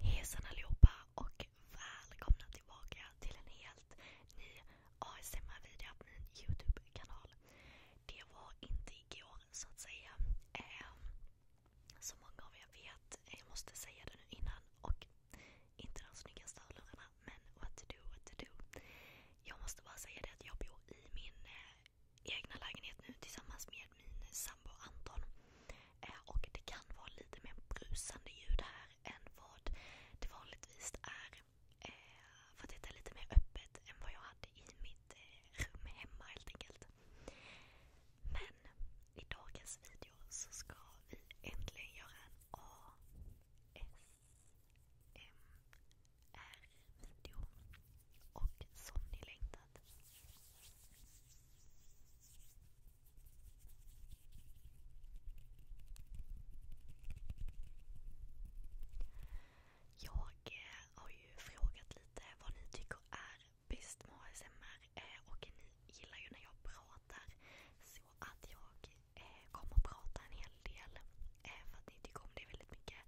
Hejsan allihopa och välkomna tillbaka till en helt ny ASMR-video på min Youtube-kanal. Det var inte igår så att säga. Ehm, som många av er vet, jag måste säga det nu innan och inte de snyggaste hörlurarna men what to do, what to do. Jag måste bara säga det att jag bor i min eh, egna lägenhet nu tillsammans med min sambo Anton. Eh, och det kan vara lite mer brusande ljud här än vad det vanligtvis är. Eh, för att det är lite mer öppet än vad jag hade i mitt eh, rum hemma helt enkelt. Men i dagens video så ska vi äntligen göra en ASMR-video. Och som ni längtar jag eh, har ju frågat lite vad ni tycker är bäst med ASMR eh, och ni gillar ju när jag pratar så att jag eh, kommer prata en hel del eh, för att ni tycker om det väldigt mycket.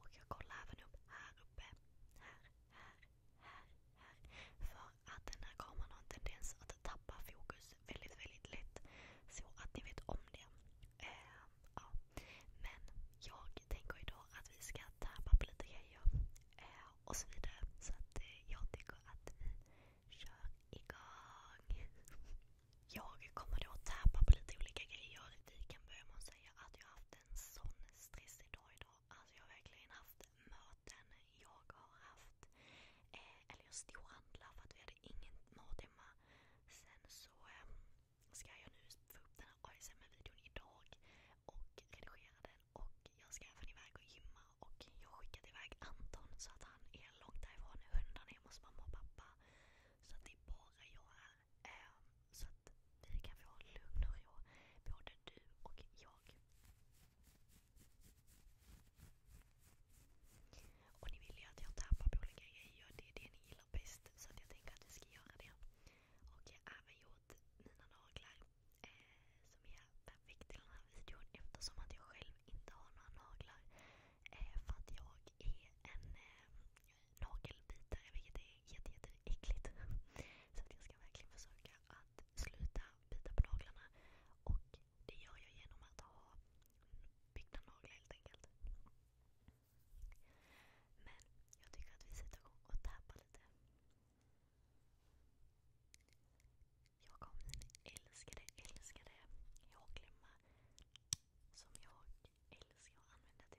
Och jag kollar även upp här uppe. Här, här, här, för att den här kameran har en tendens att tappa fokus väldigt, väldigt lätt. Så att ni vet om det. Ehm, Men jag tänker idag att vi ska tappa på lite grejer eh, och så vidare. Så eh, jag tycker att kör igång. Jag kommer då tappa på lite olika grejer. Vi kan börja med att säga att jag har haft en sån stressig dag idag alltså jag har verkligen haft möten. Jag har haft, eh, eller jag storhandlar för att vi hade ingen mat hemma. Sen så eh, ska jag nu få upp den här ASMR-videon idag och redigera den. Och jag ska även iväg och gymma och jag har skickat iväg Anton så att han är långt därifrån. Hundarna är hemma hos mamma och pappa. Så att det är bara jag här. Ehm, så att vi kan få lugn och ro, både du och jag. Och ni vill ju att jag tappar på olika grejer. Det är det ni gillar bäst. Så att jag tänker att vi ska göra det. Och jag har även gjort mina naglar. Eh, som är perfekt till den här videon eftersom att jag själv inte har några naglar. Eh, för att jag är en eh, nagelbitare vilket är jätteäckligt. Jätte, jätte så att jag ska verkligen försöka att sluta bita på naglarna. Och det gör jag genom att ha byggda naglar helt enkelt. Men jag tycker att vi sätter igång och tappar lite. Jag kom min älskade, älskade hårklämma som jag älskar att använda till mitt hår.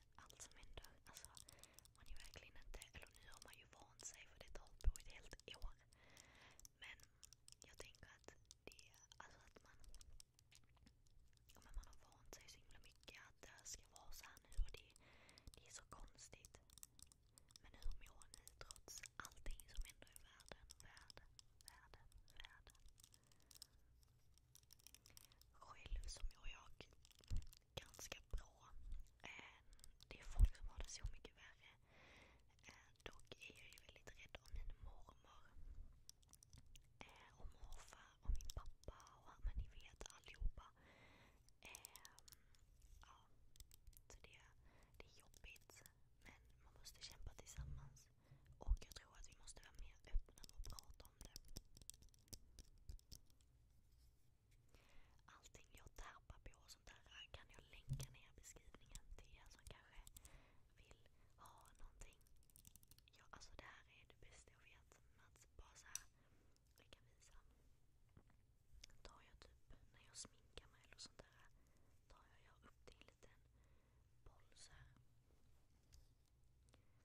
allt som händer. Alltså, man är verkligen inte, eller nu har man ju vant sig för det har hållit på ett helt år. Men jag tänker att det, alltså att man, men man har vant sig så himla mycket att det ska vara så här nu och det, det är så konstigt. Men hur mår ni trots allting som händer i världen, världen, världen, världen? Själv som jag ganska bra. Eh, det är folk som har det så mycket värre. Eh, dock är jag väldigt rädd om min mormor. Eh, om morfar, om min pappa och men det, är jobbigt. Men man måste kämpa tillsammans. Och jag tror att vi måste vara mer öppna och prata om det. Allting jag tappar på och sånt där kan jag länka ner i beskrivningen till er som kanske vill ha någonting. Ja, alltså det här är det bästa jag vet. Att bara så här, jag kan visa. Tar jag typ när jag sminkar mig eller sånt där. Tar jag, jag upp till en liten boll så här.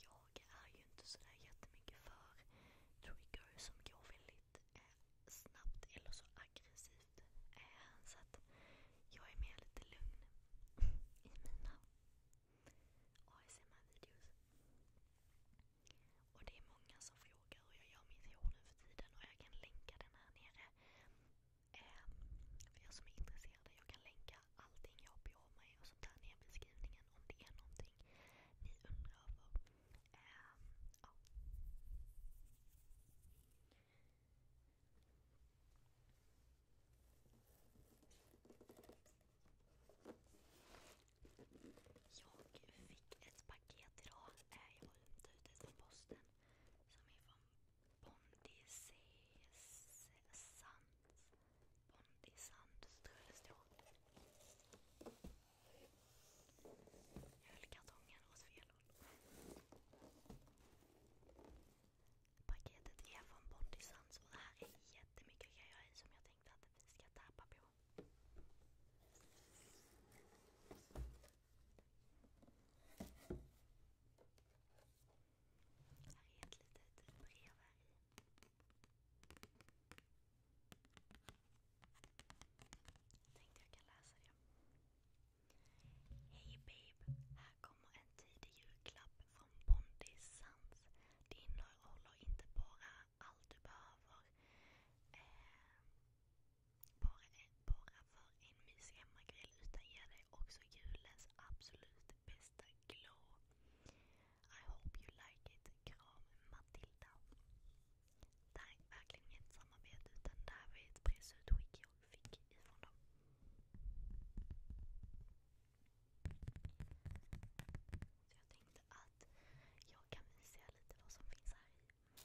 Jag är ju inte sådär jättemycket för triggers som går väldigt eh, snabbt eller så aggressivt. Eh, så att jag är mer lite lugn i mina ASMR-videos. Och det är många som frågar hur jag gör mitt hår nu för tiden och jag kan länka den här nere. Eh, för er som är intresserade, jag kan länka kommentera allting jag jobbar med och sånt där nere i beskrivningen om det är någonting ni undrar över. Ehm, jag fick ett paket idag. Eh, jag har hämtat ut det från posten. Som är från Bondi C. Sant. Bondi Sandströmstråt. Jag höll kartongen åt fel håll. Paketet är från Bondi Sands det här är jättemycket grejer som jag tänkte att vi ska tappa på. Här är ett litet brev tänkte jag kan läsa det. Hej babe! Här kommer en tidig julklapp från Bondi Sands. Det innehåller inte bara allt du behöver eh, bara, för en mysig hemmakväll utan ger dig också julens absolut bästa glow. I hope you like it. Kram Matilda. Det här är verkligen inget samarbete utan det här var ett pressutskick jag fick ifrån dem. Så jag tänkte att jag kan visa er lite vad som finns här i.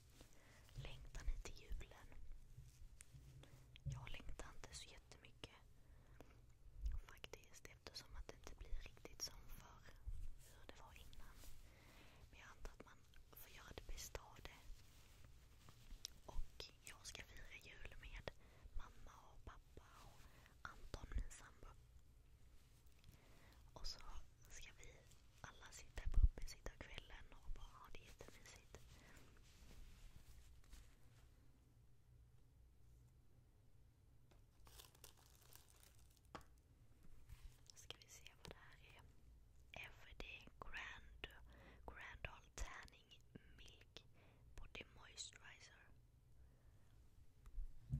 Längtar ni till julen? Jag längtar inte så jättemycket faktiskt eftersom det inte blir riktigt som förr, hur det var innan. Men jag antar att man får göra det bästa av det. Och jag ska fira jul med mamma och pappa och Anton, min sambo ska vi alla sitta på uppe sitta kvällen och bara ha det jättemysigt. Ska vi se vad det här är. Everyday Grand Grandal Tanning Milk Body Moisturizer. Okej. Okay.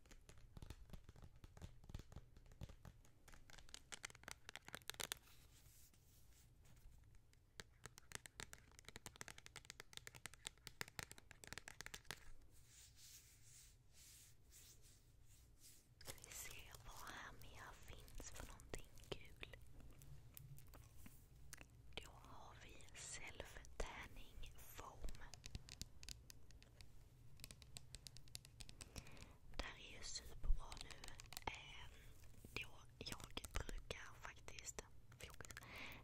Vi ser vad här mer finns för någonting kul. Då har vi self-tanning foam. Det här är ju superbra nu. Eh, då jag brukar faktiskt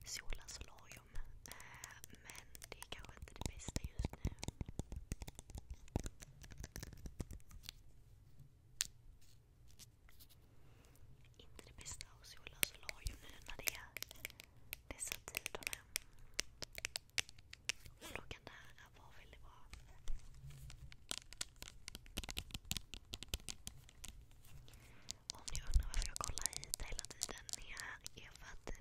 sola solarium. Eh, men det är kanske inte det bästa just nu. Inte det bästa att sola solarium nu när det är dessa tiderna. Och frågan där är vad vill det vara? Om ni undrar varför jag kollar hit hela tiden här är för att det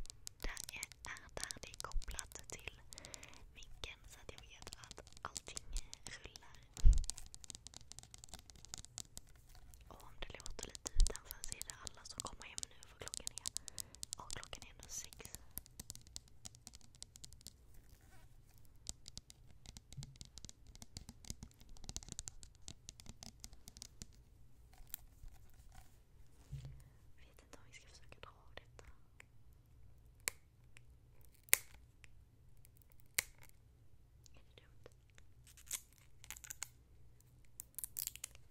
är där det är kopplat till micken så att jag vet att allting rullar. Och om det låter lite utanför så är det alla som kommer hem nu vad klockan är. Ja, klockan är ändå sex. Jag vet inte om vi ska försöka dra av detta. Är det dumt? så jättemycket.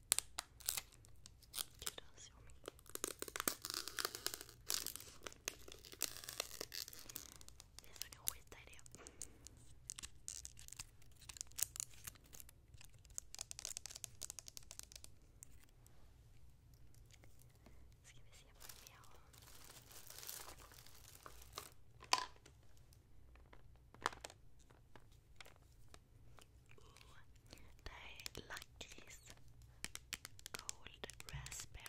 Gud vad sommig. Vi ska nog skita i det. Ska vi se vad vi har. Ooh, they like this gold raspberry.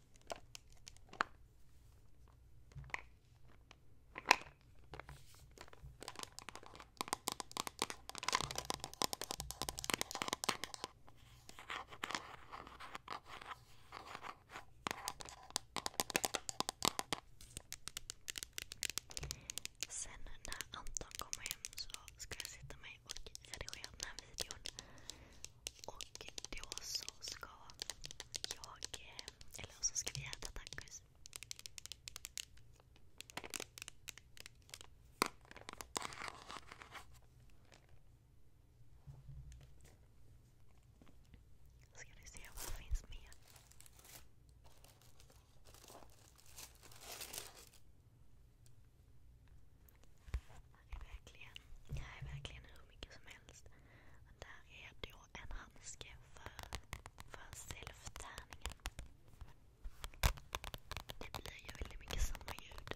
Sen när Anton kommer hem så ska jag sätta mig och redigera den här videon. Och då så ska jag, eller så ska vi äta tacos. Ska du se vad som finns med? Här är verkligen, här är verkligen hur mycket som helst. Där är då en handske för, för self-tärningen. Det blir ju väldigt mycket samma ljud.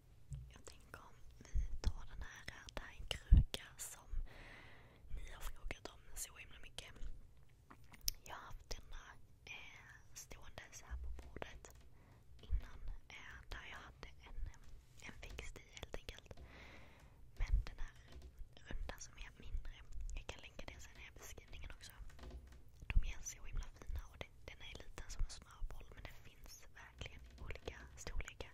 Jag tänker om vi tar den här, det här är en kruka som ni har frågat om så himla mycket. Jag har haft den eh, stående så på bordet innan. Eh, där jag hade en, växt i helt enkelt. Men den här runda som är mindre, jag kan länka det sen i beskrivningen också. De är så himla fina och den är liten som en smörboll men det finns verkligen olika storlekar.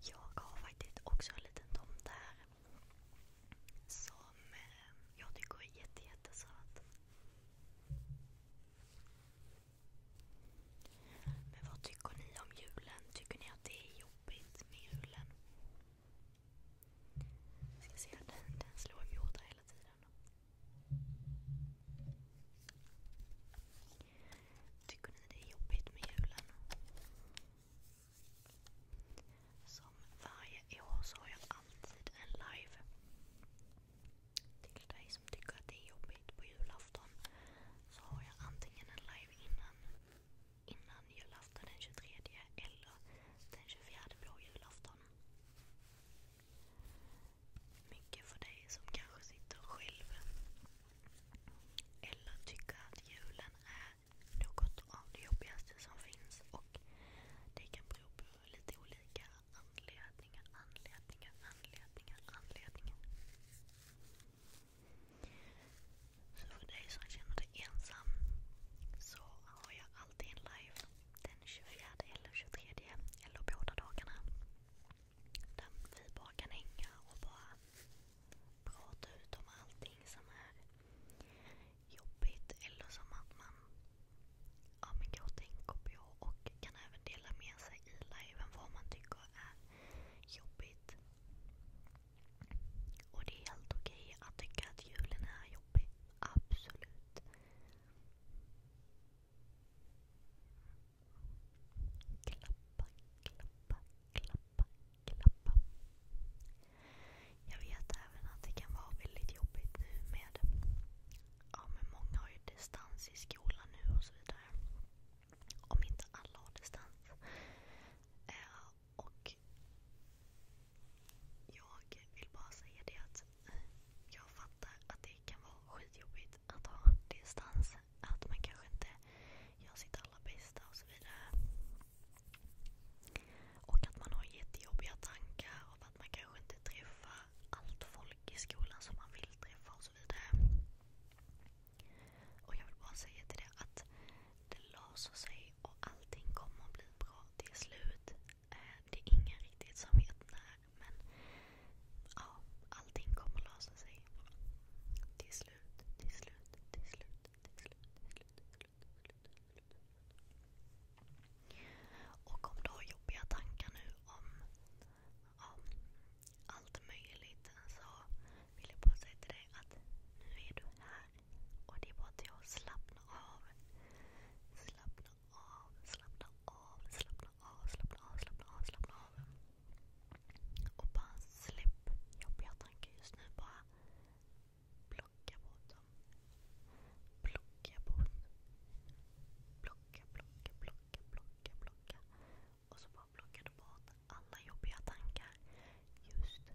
Jag har faktiskt också en liten tomt här. Som eh, jag tycker är jätte, jättesöt. Men vad tycker ni om julen? Tycker ni att det är jobbigt med julen? Jag ska se, den, den slår Yoda hela tiden. Tycker ni det är jobbigt med julen? Som varje år så har jag alltid en live. Till dig som tycker att det är jobbigt på julafton så har jag antingen en live innan, julafton den 23 eller den 24 blå julafton morgon. Mycket för dig som kanske sitter själv. Eller tycker att julen är något av det jobbigaste som finns. Och det kan bero på lite olika anledningar, anledningar, anledningar, anledningar. Så för dig som känner dig ensam så har jag alltid en live den 24 eller 23 eller båda dagarna. Där vi bara kan hänga och bara prata ut om allting som är jobbigt eller som att man ja, men går och tänker på och kan även dela med sig i liven vad man tycker är jobbigt. Och det är helt okej att tycka att julen är jobbig. Absolut. Klappa, klappa, klappa, klappa. Jag vet även att det kan vara väldigt jobbigt nu med... Ja, men många har ju distans i skolan nu och så vidare. Om inte alla har distans. Eh, och jag vill bara säga det att eh, jag fattar att det kan vara skitjobbigt att ha distans. Att man kanske inte gör sitt allra bästa och så vidare. Och att man har jättejobbiga tankar om att man kanske inte träffar allt folk i skolan som man vill träffa och så vidare. Och jag vill bara säga till det att det löser sig och allting kommer att bli bra till slut. Det är ingen riktigt som vet när men allting kommer lösa sig. Till slut, till slut, till slut, till slut, Och om du har jobbiga tankar nu om allt möjligt så vill jag bara säga till dig att nu är du här. Och det var till att Slappna av, slappna av, slappna av, slappna av, slappna av, slappna av. Och bara släpp jobbiga tankar just nu. Bara plocka bort dem. Plocka bort. Plocka, plocka, plocka, plocka, plocka. Och så bara plockar du bort alla jobbiga tankar just nu.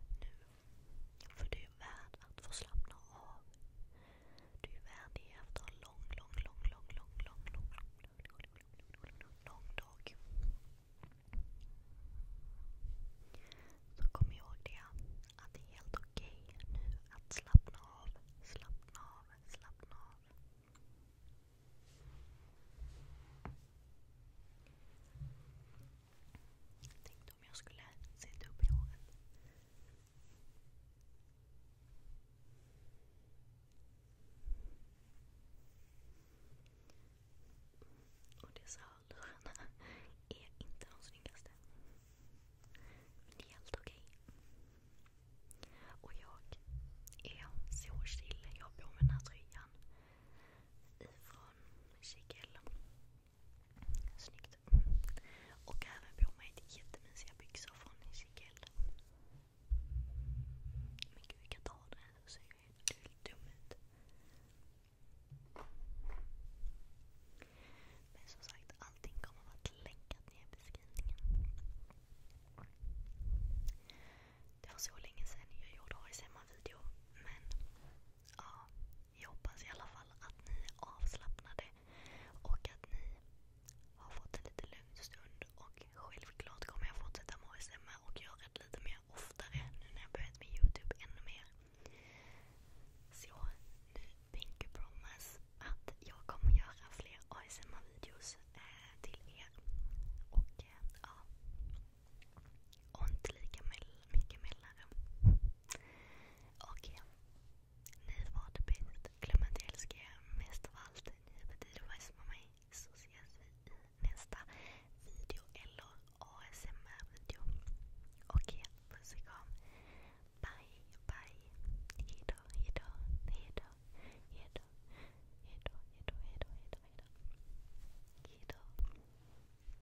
För du är värd att få slappna av. Du är värd det efter en lång, lång, lång, lång, lång, lång, lång, lång, lång dag. Så kom ihåg det, att det är helt okej nu att slappna av, slappna av, slappna av. Tänkte om jag skulle sätta upp i håret. Och dessa hörlurarna är inte de snyggaste. Men det är helt okej. Och jag är så chill. Jag har på mig den här tröjan ifrån Chiquelle. Snyggt. Och även på mig ett jättemysiga byxor från Ezekiel. Men gud, vi kan ta den här. Du ser ju helt dum ut. Men som sagt, allting kommer att vara länkat ner i beskrivningen. Det var så länge sedan jag gjorde ASMR-video. Men ja, jag hoppas i alla fall att ni är avslappnade och att ni har fått en lite lugn stund. Och självklart kommer jag fortsätta med ASMR och göra det lite mer oftare nu när jag börjat med Youtube ännu mer. Så nu Pinky Promise att jag kommer göra fler ASMR-videos eh, till er. Och eh, ja, och inte lika mycket mildare. Okej. Okay. Ni var det bäst. Glöm inte jag älskar er mest av allt. Ni betyder mest för mig. Så ses vi i nästa video eller ASMR-video. Okej, okay. puss och kram. Bye, bye. Hejdå, hejdå, hejdå, hejdå, hejdå, hejdå, hejdå, hejdå, hejdå. hejdå.